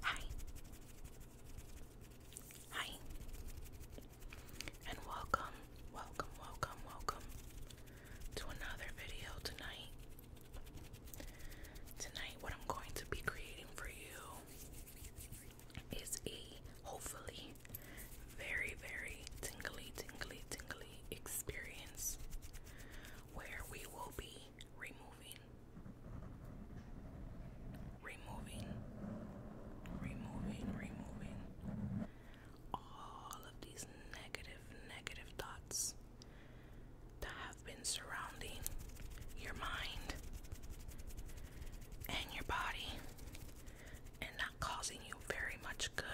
Hi. Hi. And welcome, welcome, welcome, welcome to another video tonight. Tonight, what I'm going to be creating for you is a hopefully very, very tingly, tingly, tingly experience where we will be removing, removing, removing, removing all of these negative, negative thoughts that have been surrounding your mind and your body and not causing you very much good.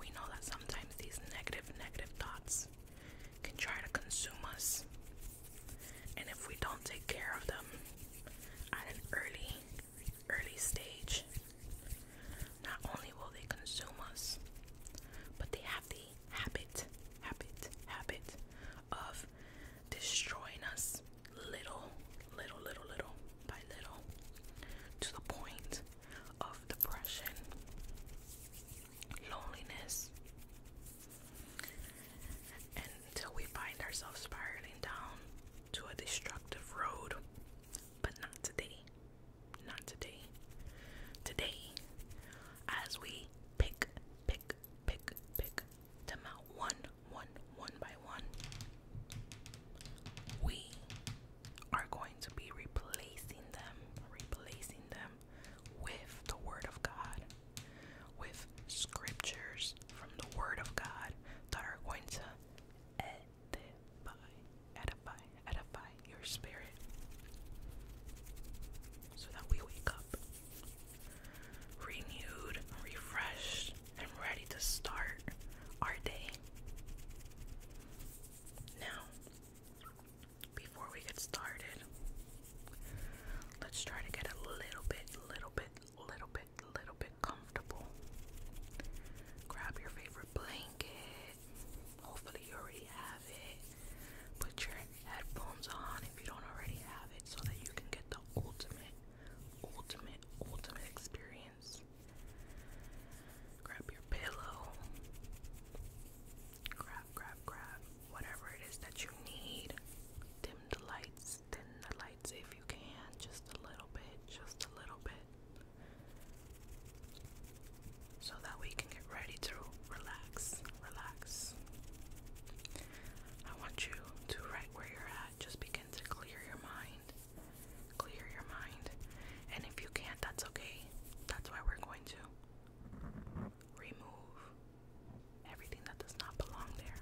We know that sometimes these negative, negative thoughts can try to consume us. And if we don't take care of them at an early, early stage, not only will they consume us, but they have the habit, habit, habit of destroying us little, little, little, little by little to the point of depression, loneliness, until we find ourselves spiraling down to a destructive road. But not today. Not today. Today, as we pick, pick, pick, pick them out one, one, one by one, we are going to be replacing them, replacing them with the Word of God, with scriptures from the Word of God that are going to edify, edify, edify your spirit so that we wake up renewed, refreshed, and ready to start our day. Now, before we get started, let's try to get a little bit, little bit, little bit, little bit comfortable. Grab your favorite blanket. Hopefully, you already have it. Put your headphones on if you don't already have it so that you can get the ultimate, ultimate, ultimate experience lines. Grab your pillow. Grab, grab, grab. Whatever it is that you need. Dim the lights. Dim the lights if you can. Just a little bit. Just a little bit. So that we can get ready to relax. Relax. I want you to, right where you're at, just begin to clear your mind. Clear your mind. And if you can't, that's okay. That's why we're going to remove everything that does not belong there.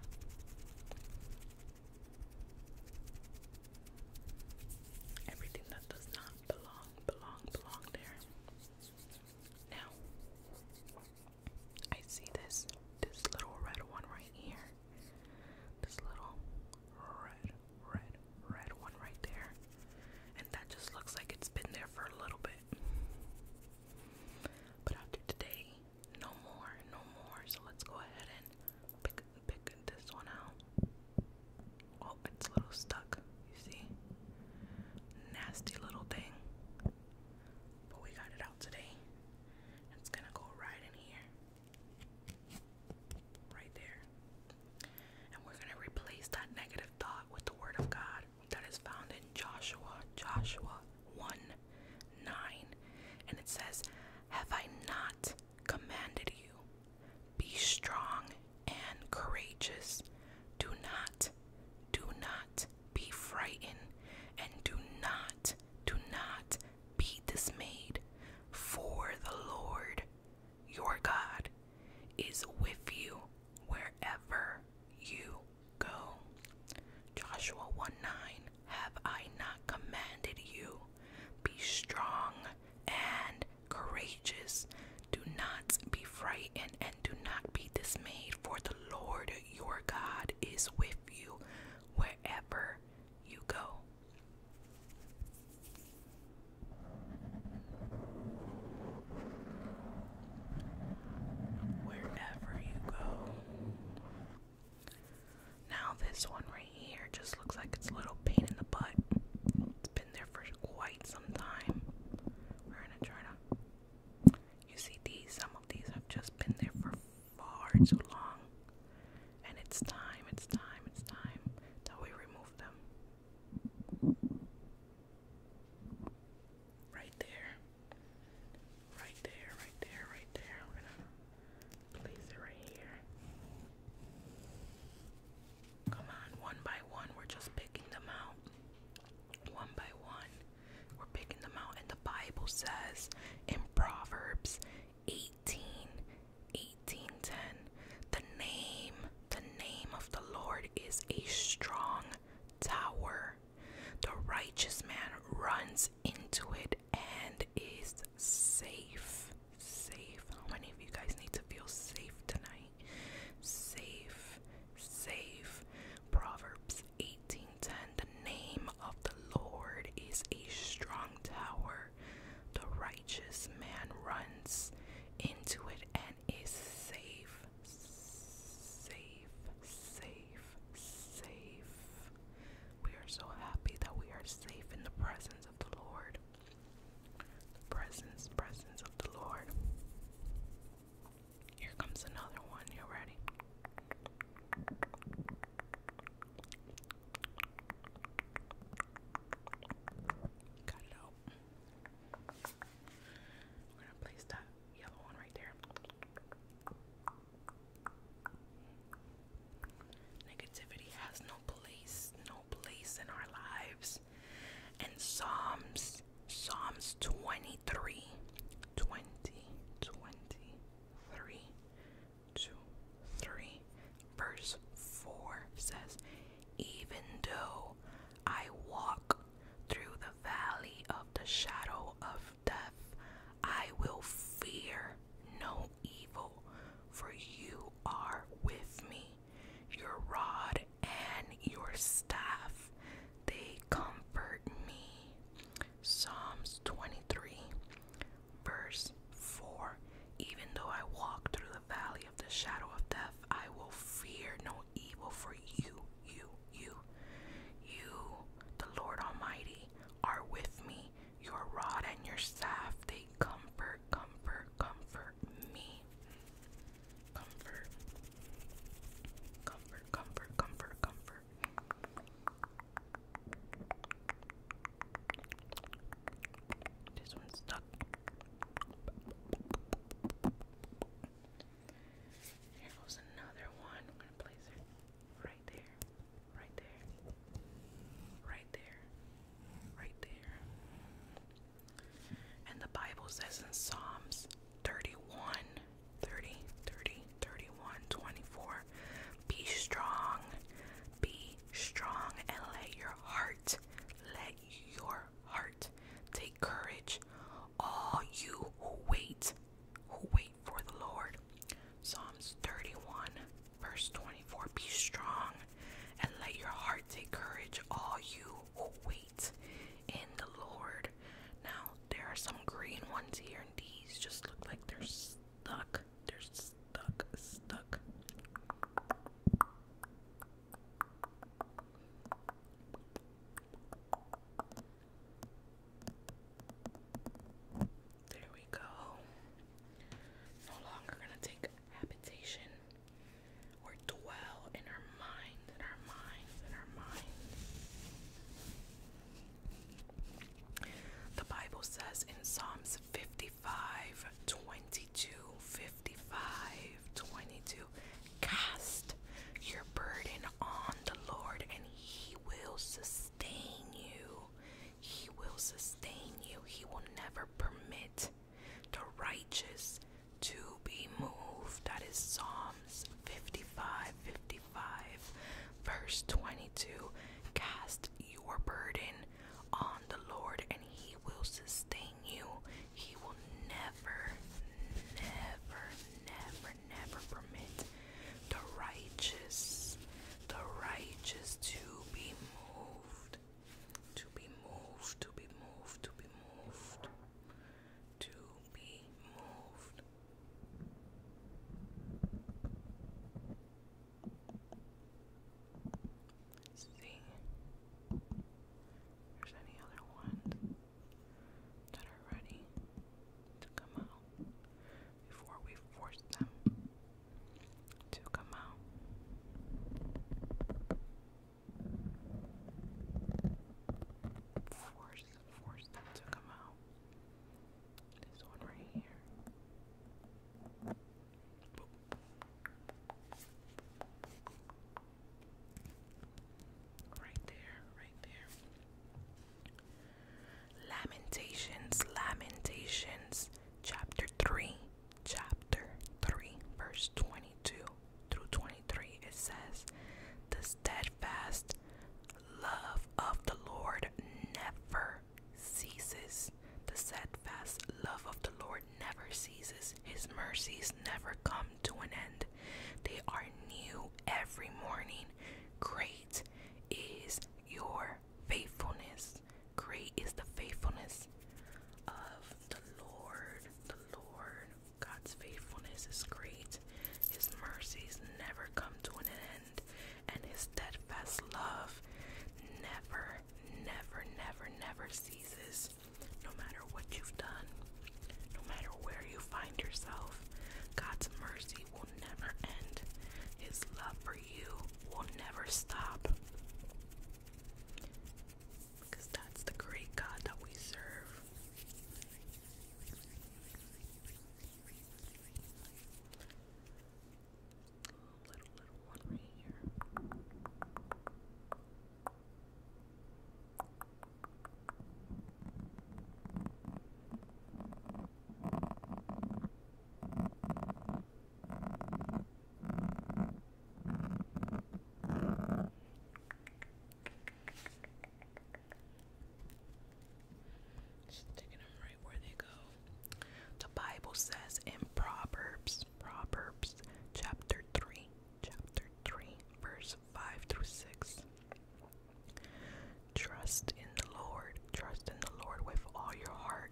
Everything that does not belong, belong, belong there. Now, I see this this little red one right here. This little red red, red one right there. And that just looks like it's been there for a little bit. But after today, no more, no more. So let's go ahead and pick, this one out. Oh, it's a little stuck, you see? Nasty little thing. But we got it out today. It's gonna go right in here. Right there. And we're going to replace that negative thought with the Word of God that is found in Joshua, Joshua 1 9. And it says, Have I not commanded you? Be strong and courageous. Do not, do not be frightened, and do not, do not be dismayed, for the Lord your God is with you wherever you go. Joshua 1 9 Have I not commanded you? Be strong and courageous. Do not be frightened and do not be dismayed, for the Lord your God is with you wherever you go. Wherever you go. Now, this one right here just looks like it's a little pain in the butt. It's been there for quite some time. We're gonna try to. You see, these, some of these have just been there for far too long. And it's time, it's time, it's time that we remove them. Right there. Right there, right there, right there. We're gonna place it right here. Come on, one by one, we're just picking them out. One by one, we're picking them out. And the Bible says in Proverbs 8 18, 1810. The name, the name of the Lord is a strong tower. The righteous man runs into it and is safe. Safe. How many of you guys need to feel safe tonight? Safe, safe. Proverbs 18:10. The name of the Lord is a strong tower. The righteous man runs into it and is safe, safe, safe, safe. We are so happy that we are safe in the presence of the Lord. presence, presence of the Lord. Here comes another one. You ready? Cut it out. We're gonna place that yellow one right there. Negativity has no place, no place in our lives. And Psalms, Psalms 23, 23 two, three. Verse 4 says, Even though I walk through the valley of the shadow of death, I will fear no evil, for you are with me. Your rod and your staff, they comfort me. Psalms 23 Verse 4 Even though I walk through the valley of the shadow of death, I will fear no evil, for you, you, you, you, the Lord Almighty, are with me. Your rod and your staff, they comfort, comfort, comfort me. Comfort, comfort, comfort, comfort, this one's stuck. Here goes another one. I'm gonna place it right there, right there, right there, right there. And the Bible says in Psalms 31, 30, 31, 24, be strong be strong and let your heart, let your heart take courage. All you who wait, who wait for the Lord. Psalms 31, verse 24. Be strong and let your heart take courage, all you who wait in the Lord. Now, there are some green ones here, and these just look like they stuck. They're stuck, stuck. There we go. No longer going to take habitation or dwell in our minds, in our minds, in our minds. The Bible says in Psalms 55 22, 55 22, cast your burden on the Lord and He will sustain you. He will sustain you. He will never permit the righteous to be moved. That is Psalms 55 55, verse 22. Cast cast your burden on the Lord and He will sustain you. He will never, never, never, never permit the righteous, the righteous to be moved, to be moved, to be moved, to be moved, to be moved. Let's see there's any other ones that are ready to come out before we force them to come out. Force, force them to come out. This one right here. Right there, right there. Lamentations, Lamentations, chapter 3, chapter 3, verse 22 through 23. It says, The steadfast love of the Lord never ceases. The steadfast love of the Lord never ceases. His mercies never come to an end. They are new every morning. Great is your faithfulness. Great is the faithfulness of the Lord. The Lord, God's faithfulness is great. His mercies never come to an end and his steadfast love never, never, never, never ceases. No matter what you've done, no matter where you find yourself, God's mercy will never end. His love for you will never stop. Because that's the great God that we serve little, little one right here. Sticking them where they go. The Bible says in Proverbs, Proverbs chapter 3, chapter 3, verse 5 through 6. Trust in the Lord, trust in the Lord with all your heart,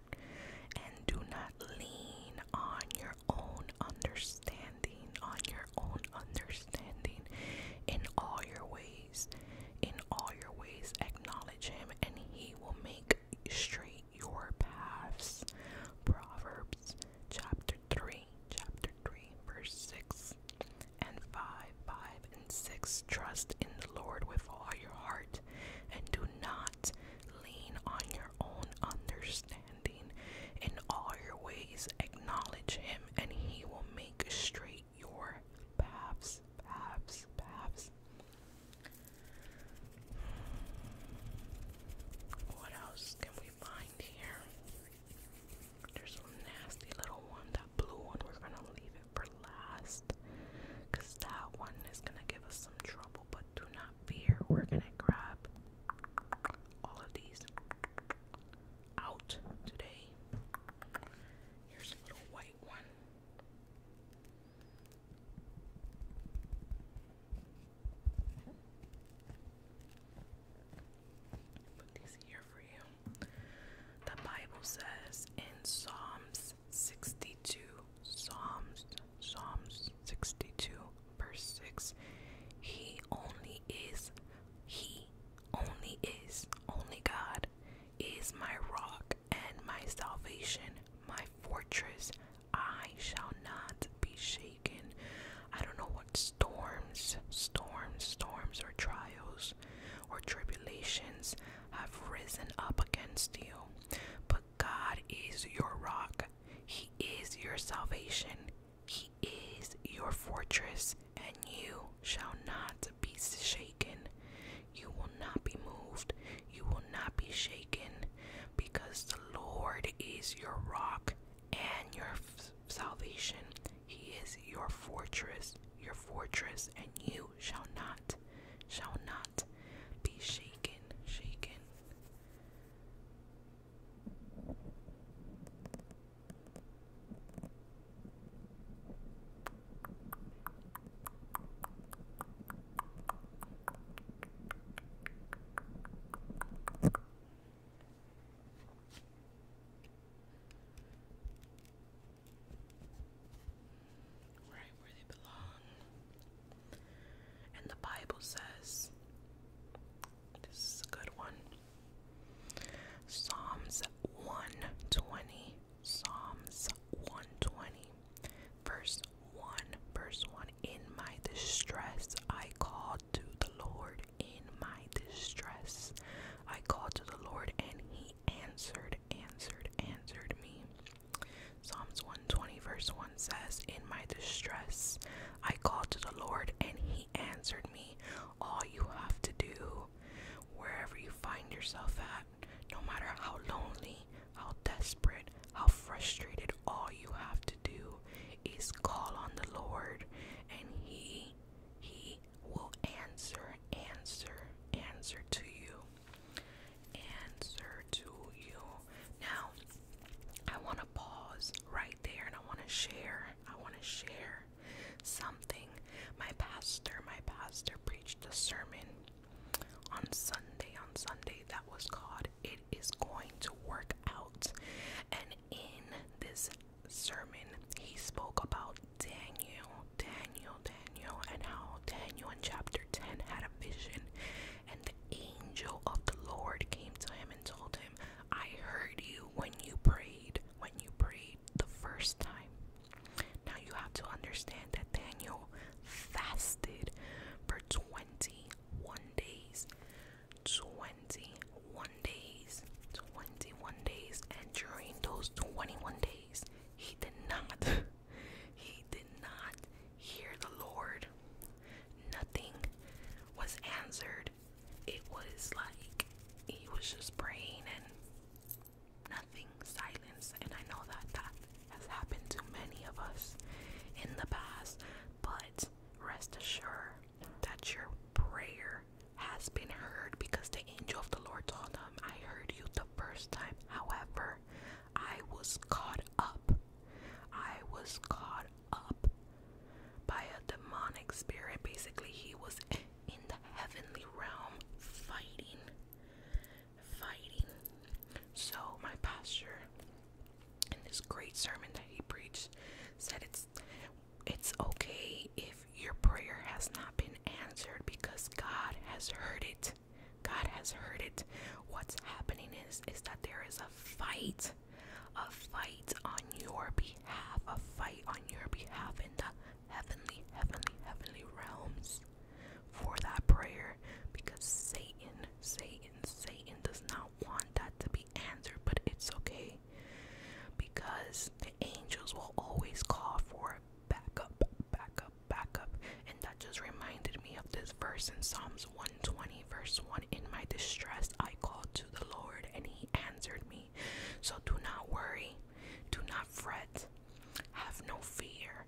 and do not lean on your own understanding, on your own understanding in all your ways in all your ways, acknowledge him, and he will make straight your paths. Proverbs chapter 3, chapter 3, verse 6 and 5, 5 and 6. Trust in the Lord with all your heart, and do not lean on your own understanding. In all your ways, acknowledge him, and he will make straight your paths, paths, paths. What else can we find here? There's a nasty little one, that blue one. We're gonna leave it for last because that one is gonna give us some trouble. But do not fear, we're gonna grab all of these out today. Here's a little white one. Put these here for you. The Bible says in Psalms 62, Psalms, Psalms 62, verse 6, He only is, He only is, only God is my rock and my salvation, my fortress. I shall not be shaken. I don't know what storms, storms, storms, or trials or tribulations have risen up against you, but God is your rock. He is your salvation. He is your fortress and you shall not be shaken. You will not be moved. You will not be shaken, because the Lord is your rock and your salvation. He is your fortress, your fortress, and you shall not, shall not be shaken, shaken. Right where they belong. And the Bible says, this is a good one. Psalms 120 Psalms 120, verse 1, verse 1 In my distress, I called to the Lord. In my distress, I called to the Lord, and he answered, answered, answered me. Psalms 120, verse 1 says, In my distress, I called to the Lord, and he answered me. All you have to do wherever you find yourself at, no matter how lonely, how desperate, how frustrated, all you have to do is call on the Lord and He, He will answer, answer, answer to you. Answer to you. Now, I want to pause right there and I want to share. I want to share something. My pastor, my pastor preached a sermon on Sunday, on Sunday that was called It Is Going to Work Out. And in this sermon, he spoke about Daniel, Daniel, Daniel, and how Daniel in chapter 10 had a vision, and the angel of the Lord came to him and told him, I heard you when you prayed, when you prayed the first time. Now you have to understand that Daniel fasted for 21 days. 21 days. 21 days. And during those 21 days, he did not, he did not hear the Lord. Nothing was answered. It was like he was just praying and nothing, silence. And I know that that has happened to many of us in the past, but rest assured that your prayer has been heard because the angel of the Lord told him, I heard you the first time. However, I was caught up. I was caught up by a demonic spirit. Basically, he was in the heavenly realm fighting fighting so my pastor in this great sermon that he preached said it's it's okay if your prayer has not been answered because God has heard it God has heard it what's happening is is that there is a fight a fight on your behalf a fight on your behalf in the heavenly, heavenly, heavenly realms for that prayer because Satan, Satan, Satan does not want that to be answered, but it's okay because the angels will always call for backup, backup, backup. And that just reminded me of this verse in Psalms 120, verse 1 In my distress, I called to the Lord and he answered me. So do not worry. Do not fret. Have no fear.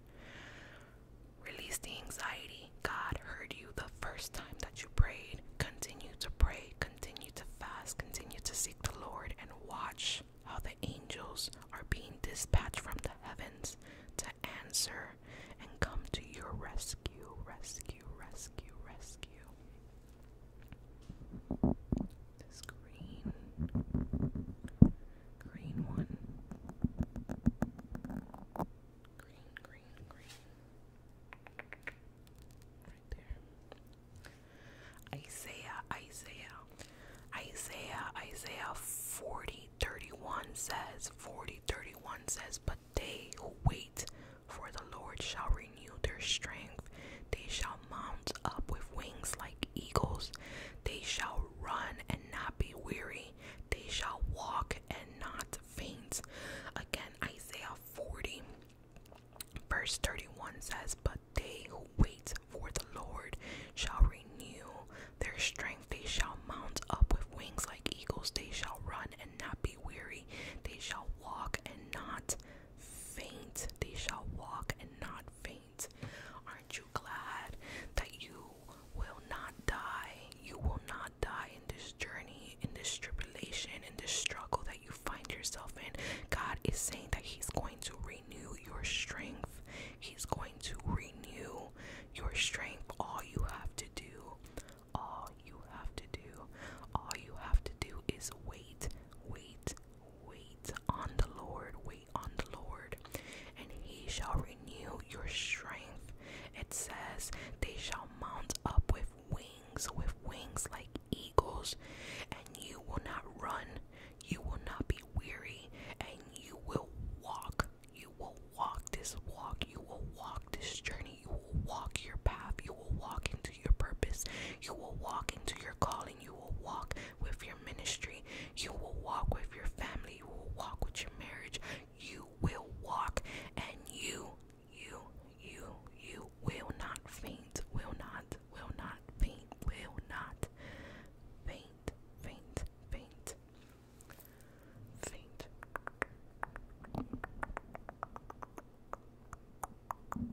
Release the anxiety. God heard you the first time that you prayed. Continue to pray. Continue to fast. Continue to seek the Lord and watch how the angels are being dispatched from the heavens to answer and come to your rescue, rescue, rescue, rescue. This green, green one. Green, green, green. Right there. Isaiah, Isaiah, Isaiah, Isaiah 40 31 says, 40 31 says, But they who wait for the Lord shall renew renew their strength. They shall mount up with wings like eagles. They shall run and not be weary. They shall walk and not faint. Again, Isaiah 40, verse 31 says, But they who wait for the Lord shall renew their strength. They shall mount up with wings like eagles. They shall run and not be weary. They shall walk and not faint, they shall walk and not faint. Aren't you glad that you will not die? You will not die in this journey, in this tribulation, in this struggle that you find yourself in. God is saying that He's going to renew your strength, He's going to renew your strength. All you have to do, all you have to do, all you have to do is wait, wait, Wait on the Lord, wait on the Lord, and he shall renew your strength. It says, They shall mount up with wings, with wings like eagles, and you will not run, you will not be weary, and you will walk. You will walk this walk, you will walk this journey, you will walk your path, you will walk into your purpose. You will walk into your calling. You will walk with your ministry. You will walk with your family. You will walk with your marriage. You will walk and you, you, you, you will not faint. Will not, will not faint. Will not faint, faint, faint, faint. faint.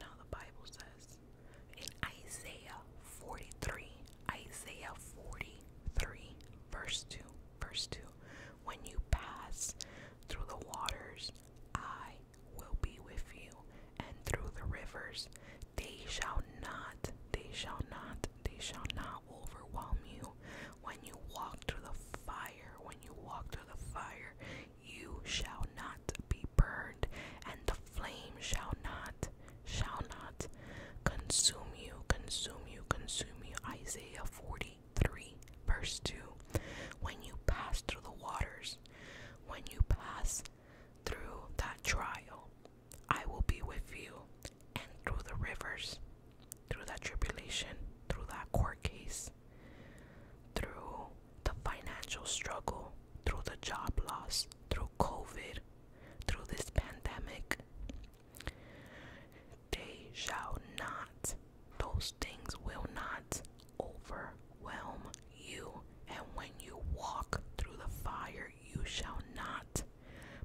Now the Bible says in Isaiah 43, Isaiah 43, verse 2, verse 2, when you pass through the waters, I will be with you, and through the rivers. They shall not, they shall not, they shall not overwhelm you. When you walk through the fire, when you walk through the fire, you shall not be burned, and the flame shall not, shall not consume you, consume you, consume you. Isaiah 43, verse 2. When you pass through the waters, when you pass through that trial, I will be with you, and through the rivers, through that tribulation, through that court case, through the financial struggle, through the job loss, through COVID, through this pandemic. They shall not, those things will not overwhelm you, and when you walk through the fire, you shall not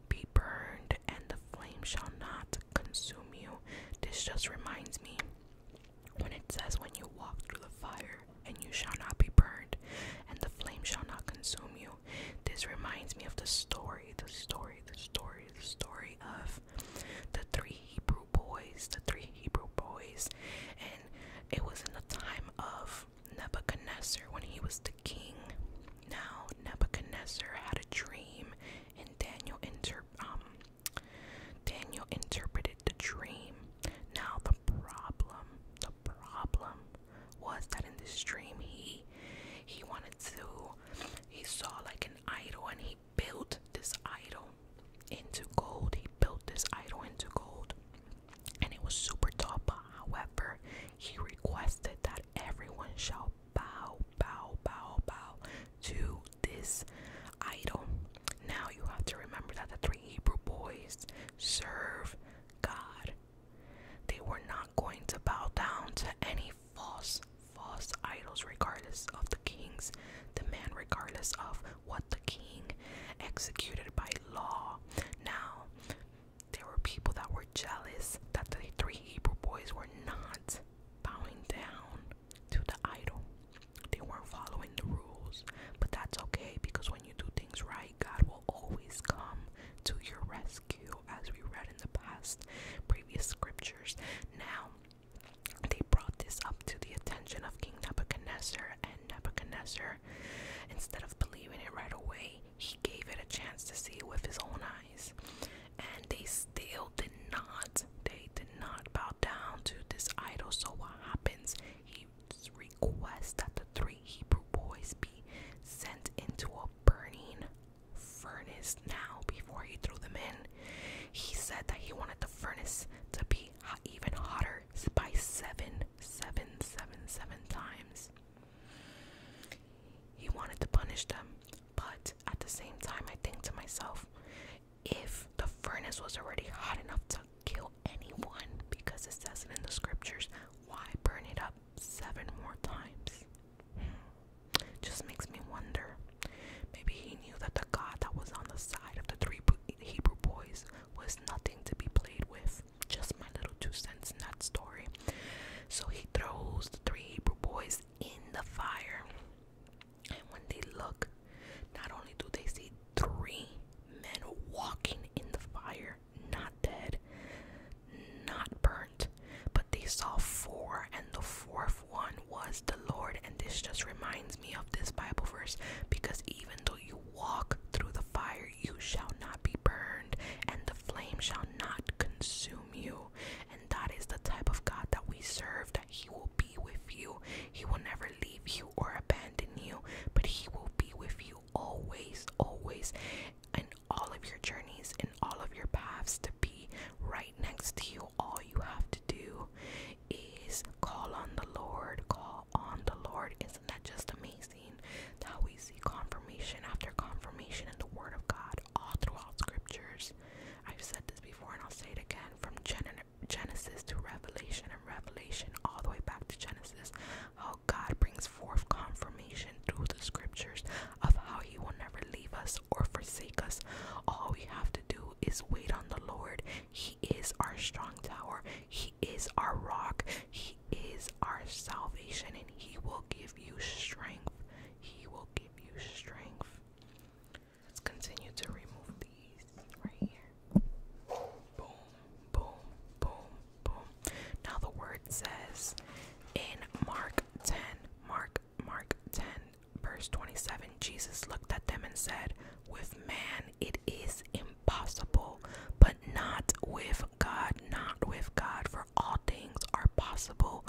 be burned, and the flame shall not consume you. This just reminds me when it says, When you walk through the fire, and you shall not be burned, and the flame shall not consume you. This reminds me of the story, the story, the story, the story of the three Hebrew boys, the three Hebrew boys, and it was in the time of Nebuchadnezzar when he was the king. Now Nebuchadnezzar had a dream, and Daniel inter um Daniel interpreted the dream. Now the problem, the problem was that in this dream he he wanted to he saw like an idol and he built this idol into gold. He built this idol into gold and it was super top. However, he requested that everyone shall bow, bow, bow, bow to this idol. Now you have to remember that the three Hebrew boys serve God. They were not going to bow down to any false, false idols, regardless of the king's demand, regardless of what the king executed by law. Now, there were people that were jealous that the three Hebrew boys were not bowing down to the idol. They weren't following the rules, but that's okay because when you do things right, God will always come to your rescue, as we read in the past previous scriptures. Now, they brought this up to the attention of King Nebuchadnezzar, and Nebuchadnezzar Instead of believing it right away, he gave it a chance to see with his own eyes. And they still did not, they did not bow down to this idol. So what happens? He requests that the three Hebrew boys be sent into a burning furnace now before he threw them in. He said that he wanted the furnace to be even hotter by seven, seven, seven, seven times. He wanted to punish them, but at the same time, I think to myself, if the furnace was already hot enough to kill anyone, because it says it in the scriptures, why burn it up seven more times? It hmm. Just makes me wonder. Maybe he knew that the God that was on the side of the three Hebrew boys was nothing to be played with. Just my little two cents in that story. So he throws the three Hebrew boys in the fire. And when they look, not only do they see three men walking in the fire, not dead, not burnt, but they saw four, and the fourth one was the Lord. And this just reminds me of this Bible verse because even though you walk through the fire, you shall not be burned, and the flame shall not consume you. And that is the type of God that we serve, that He will be with you. He will never leave you or abandon you, but He will be with you always, always, in all of your journeys, and all of your paths, to be right next to you. All you have to do is call on the Lord, call on the Lord. Isn't that just amazing? That we see confirmation after confirmation in the Word of God all throughout Scriptures. I've said this before and I'll say it again from Genesis to Revelation and Revelation all the way back to Genesis. Oh, God brings forth confirmation through the Scriptures of how He will never leave us or forsake us. All we have to do is wait on the Lord. He is our strong tower. He is our rock. He is our salvation, and He will give you strength. He will give you strength. Let's continue to remove these right here. Boom, boom, boom, boom. Now the word says in Mark 10, Mark, Mark 10, verse 27, Jesus looked at them and said, With man it is impossible, but not with God, not with God, for all things are possible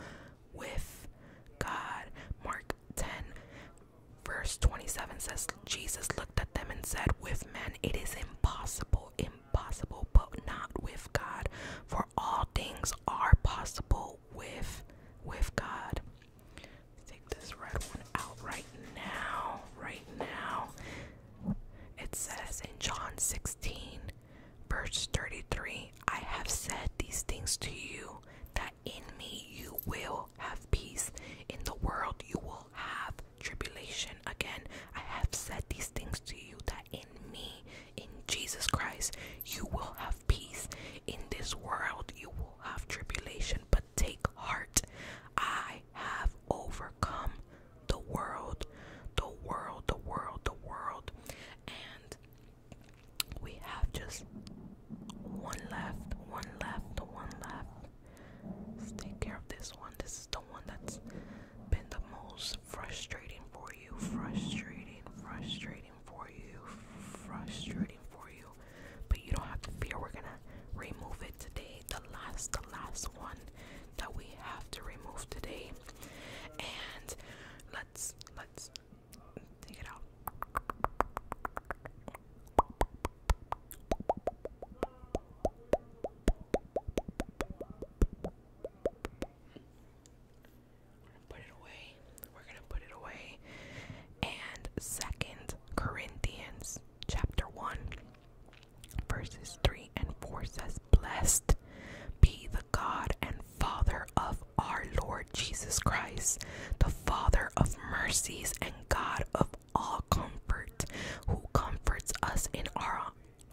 with God. Mark 10, verse 27 says, Jesus looked at them and said, With men it is impossible, impossible, but not with God, for all things are possible with with God take this red one out right now. Right now. It says in John 16, verse 33 I have said these things to you, that in me you will have peace. In the world you will have tribulation. Again, I have said these things to you, that in me, in Jesus Christ, you will have peace. In this world you will have tribulation but take heart. I have overcome the world, the world, the world, the world. And we have just one left, one left, one left. let take care of this one. This is the one that's been the most frustrating for you, frustrating, frustrating for you, frustrating for you but you don't have to fear. We're gonna remove it today. The last, the last one that we have to remove today, and let's let's take it out. put it away. We're gonna put it away. And second, Corinthians chapter 1 verses 3 and 4 says blessed be the God and Father of our Lord Jesus Christ the Father of mercies and God of all comfort who comforts us in our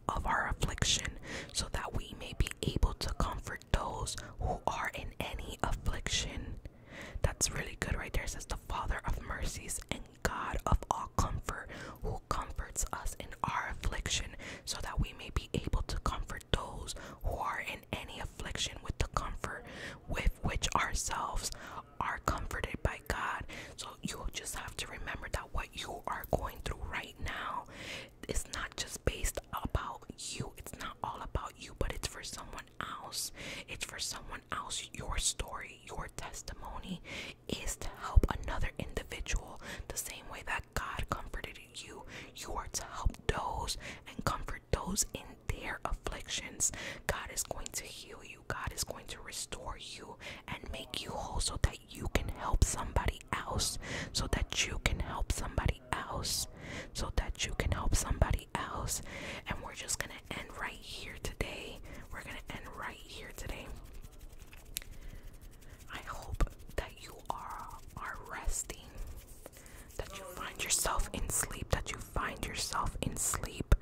of our affliction so that we may be able to comfort those who are in any affliction that's really good right there. says the Father of mercies and God of all comfort, who comforts us in our affliction, so that we may be able to comfort those who are in any affliction with the comfort with which ourselves are comforted by God. So you just have to remember that what you are going through right now is not just based about you. It's not all about you, but it's for someone else. It's for someone else. Your story, your testimony is to help another individual the same way that God comforted you. You are to help those and comfort those in their afflictions. God is going to heal you, God is going to restore you and make you whole so that you can help somebody else, so that you can help somebody else, so that you can help somebody anybody And we're just going to end right here today. We're going to end right here today. I hope that you are are resting. That you find yourself in sleep, that you find yourself in sleep.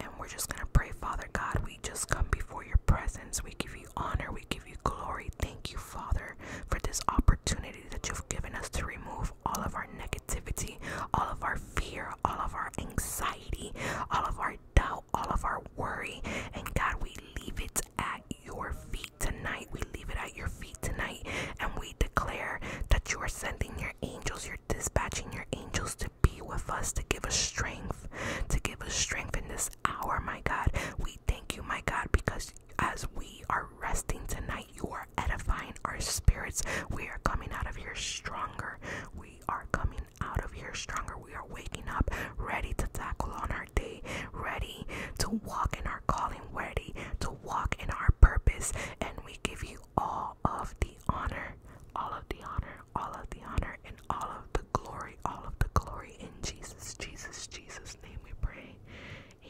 And we're just going to pray, Father God, we just come before your presence. We give you honor, we give you glory. Thank you, Father, for this opportunity opportunity that you've given us to remove all of our negativity, all of our fear, all of our anxiety, all of our doubt, all of our worry. And God, we leave it at your feet tonight. We leave it at your feet tonight. And we declare that you are sending your angels, you're dispatching your angels to be with us, to give us strength, to give us strength in this hour, my God. We thank you, my God, because as we are resting tonight, you are edifying our spirits. We are coming out of here stronger. We are coming out of here stronger. We are waking up ready to tackle on our day, ready to walk in our calling, ready to walk in our purpose. And we give you all of the honor, all of the honor, all of the honor, and all of the glory, all of the glory in Jesus, Jesus, Jesus' name we pray.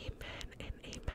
Amen and amen.